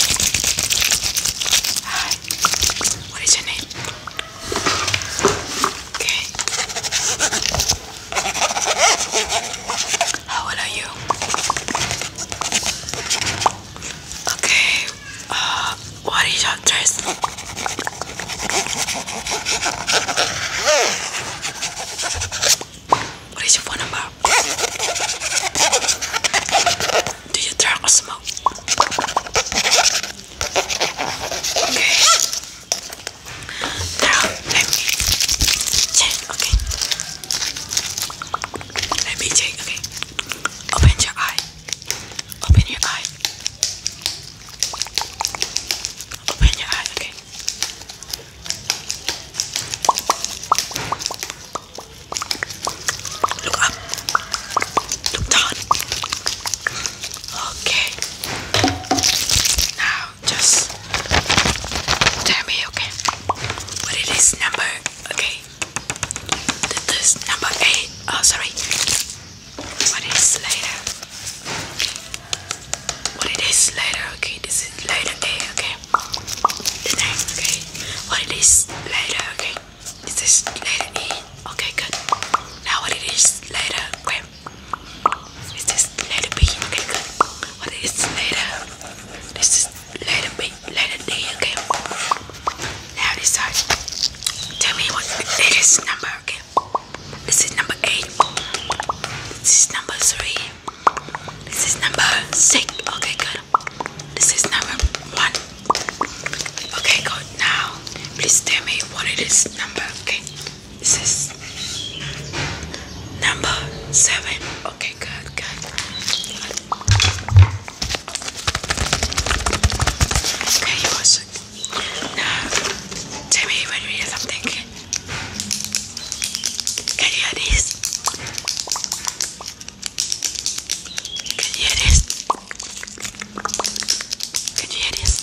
Hi. What is your name? Okay. How old are you? Okay. Uh, what is your dress? What is your phone number? Do you drink or smoke? Okay. Now let Okay. Let me check. Okay. Open your eye. Open your eye. Open your eye. Okay. Look up. Look down. Okay. Now just tell me, okay, what number, okay. This number eight. Oh, sorry. What later? What later? Okay, this is later A. Okay tonight, okay? What it is later, okay? This is later in, okay, good. Now what it is later, okay? This is later B, okay, good. What it is later, this is later B, later D, okay? Now decide. Tell me what it is number, okay? This is number 8. This is number 3. This is number six. Okay, good. This is number one. Okay, good. Now, please tell me what it is. Number, okay. This is number seven. Okay, good, good. Okay, you are Now, tell me when you hear something. ¿Qué eres? ¿Qué eres? ¿Qué eres?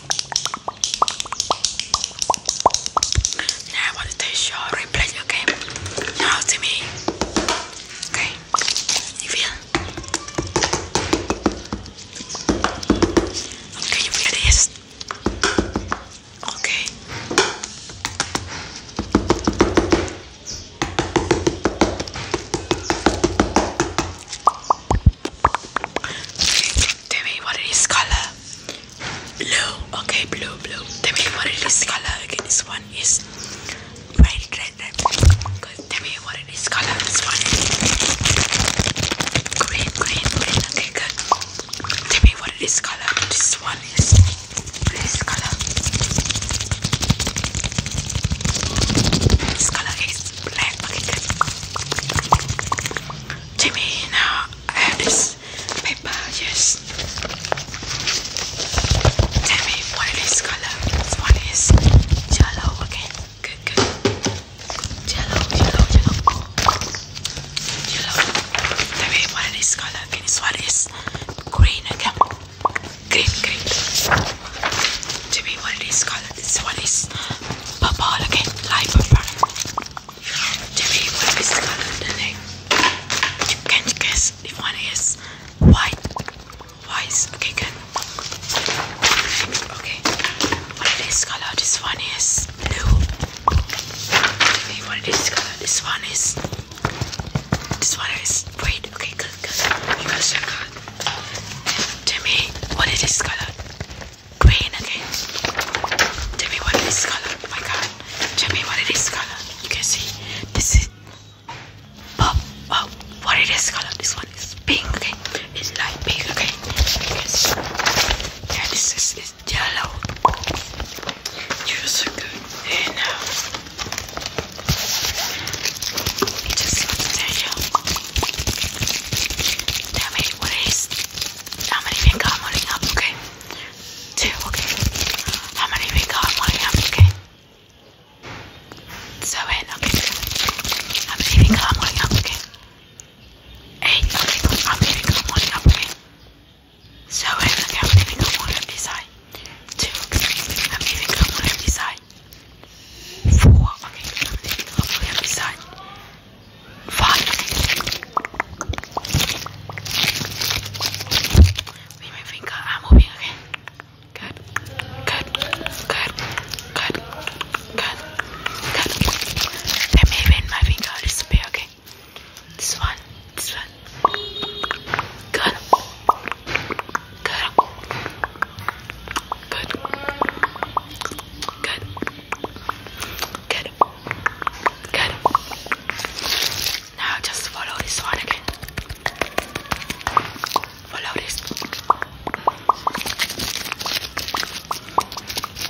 Now I want to taste your replay, okay? Now to me. Okay. You feel? Okay, you feel Okay. Tell me what color. Blue. Okay, blue, blue. Tell me what color. this one is red, red, red. Good. Tell me what color. This one is green, green, Okay, good. Tell me what color. This one is this color. This color is black. Jimmy, now I have this paper. Yes. Tell me what color. This one is yellow. Okay, good, good. Yellow, yellow, yellow. Yellow. Tell me what color. Okay, this one is green. Okay. Green, green. Jimmy, what it is called? This one is purple, okay? Light purple. Jimmy, what is called today? You can guess. The one is white. White, okay, good. Okay. What it is color? This one is blue. Okay, what it is color? This one is this one is wait, okay, good, You got circle. Tell me what is this color? Green again. Tell what is this oh color? my god. Tell what is this color? You can see this is pop. Oh, what is this color? This one is pink. Okay, it's light pink. Okay. You can see. Yeah, this is, is yellow. You are so good. And now, it just looks natural. Tell me what it is. How many we got money up, okay? Two, okay. How many we got money up, okay? Seven, eh, okay. How many we got money up, okay? Eight, okay, How many we got money up, so I am going to one of this eye. 2 this one, this one. Good. Good. Good. Good. Good. Good. Now just follow this one again. Follow this.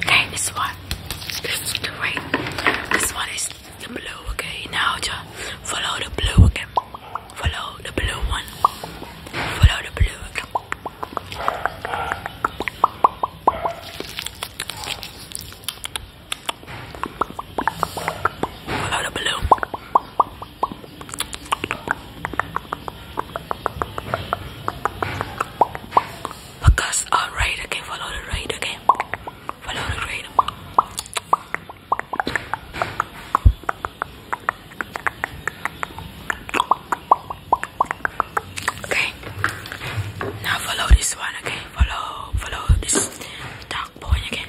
Okay, this one. This is the red. This one is the blue, okay? Now just follow the blue again. Okay? Follow the blue one. Follow the blue again. Okay? Follow the blue. Because alright, okay, follow the rain, okay? Follow the rain. Okay. Now follow this one, okay? Follow follow this dark point again.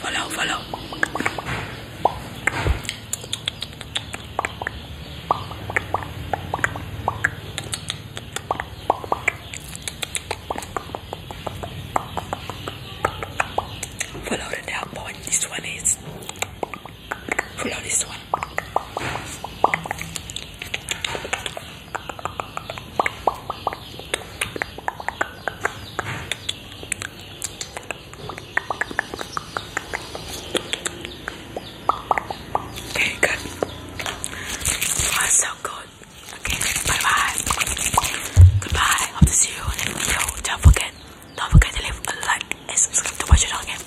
Follow, follow. Follow the down This one is. Follow this one. Okay, good. Oh, so good. Okay, bye bye. Goodbye. Hope to see you in the video. Don't forget, don't forget to leave a like and subscribe to watch it again.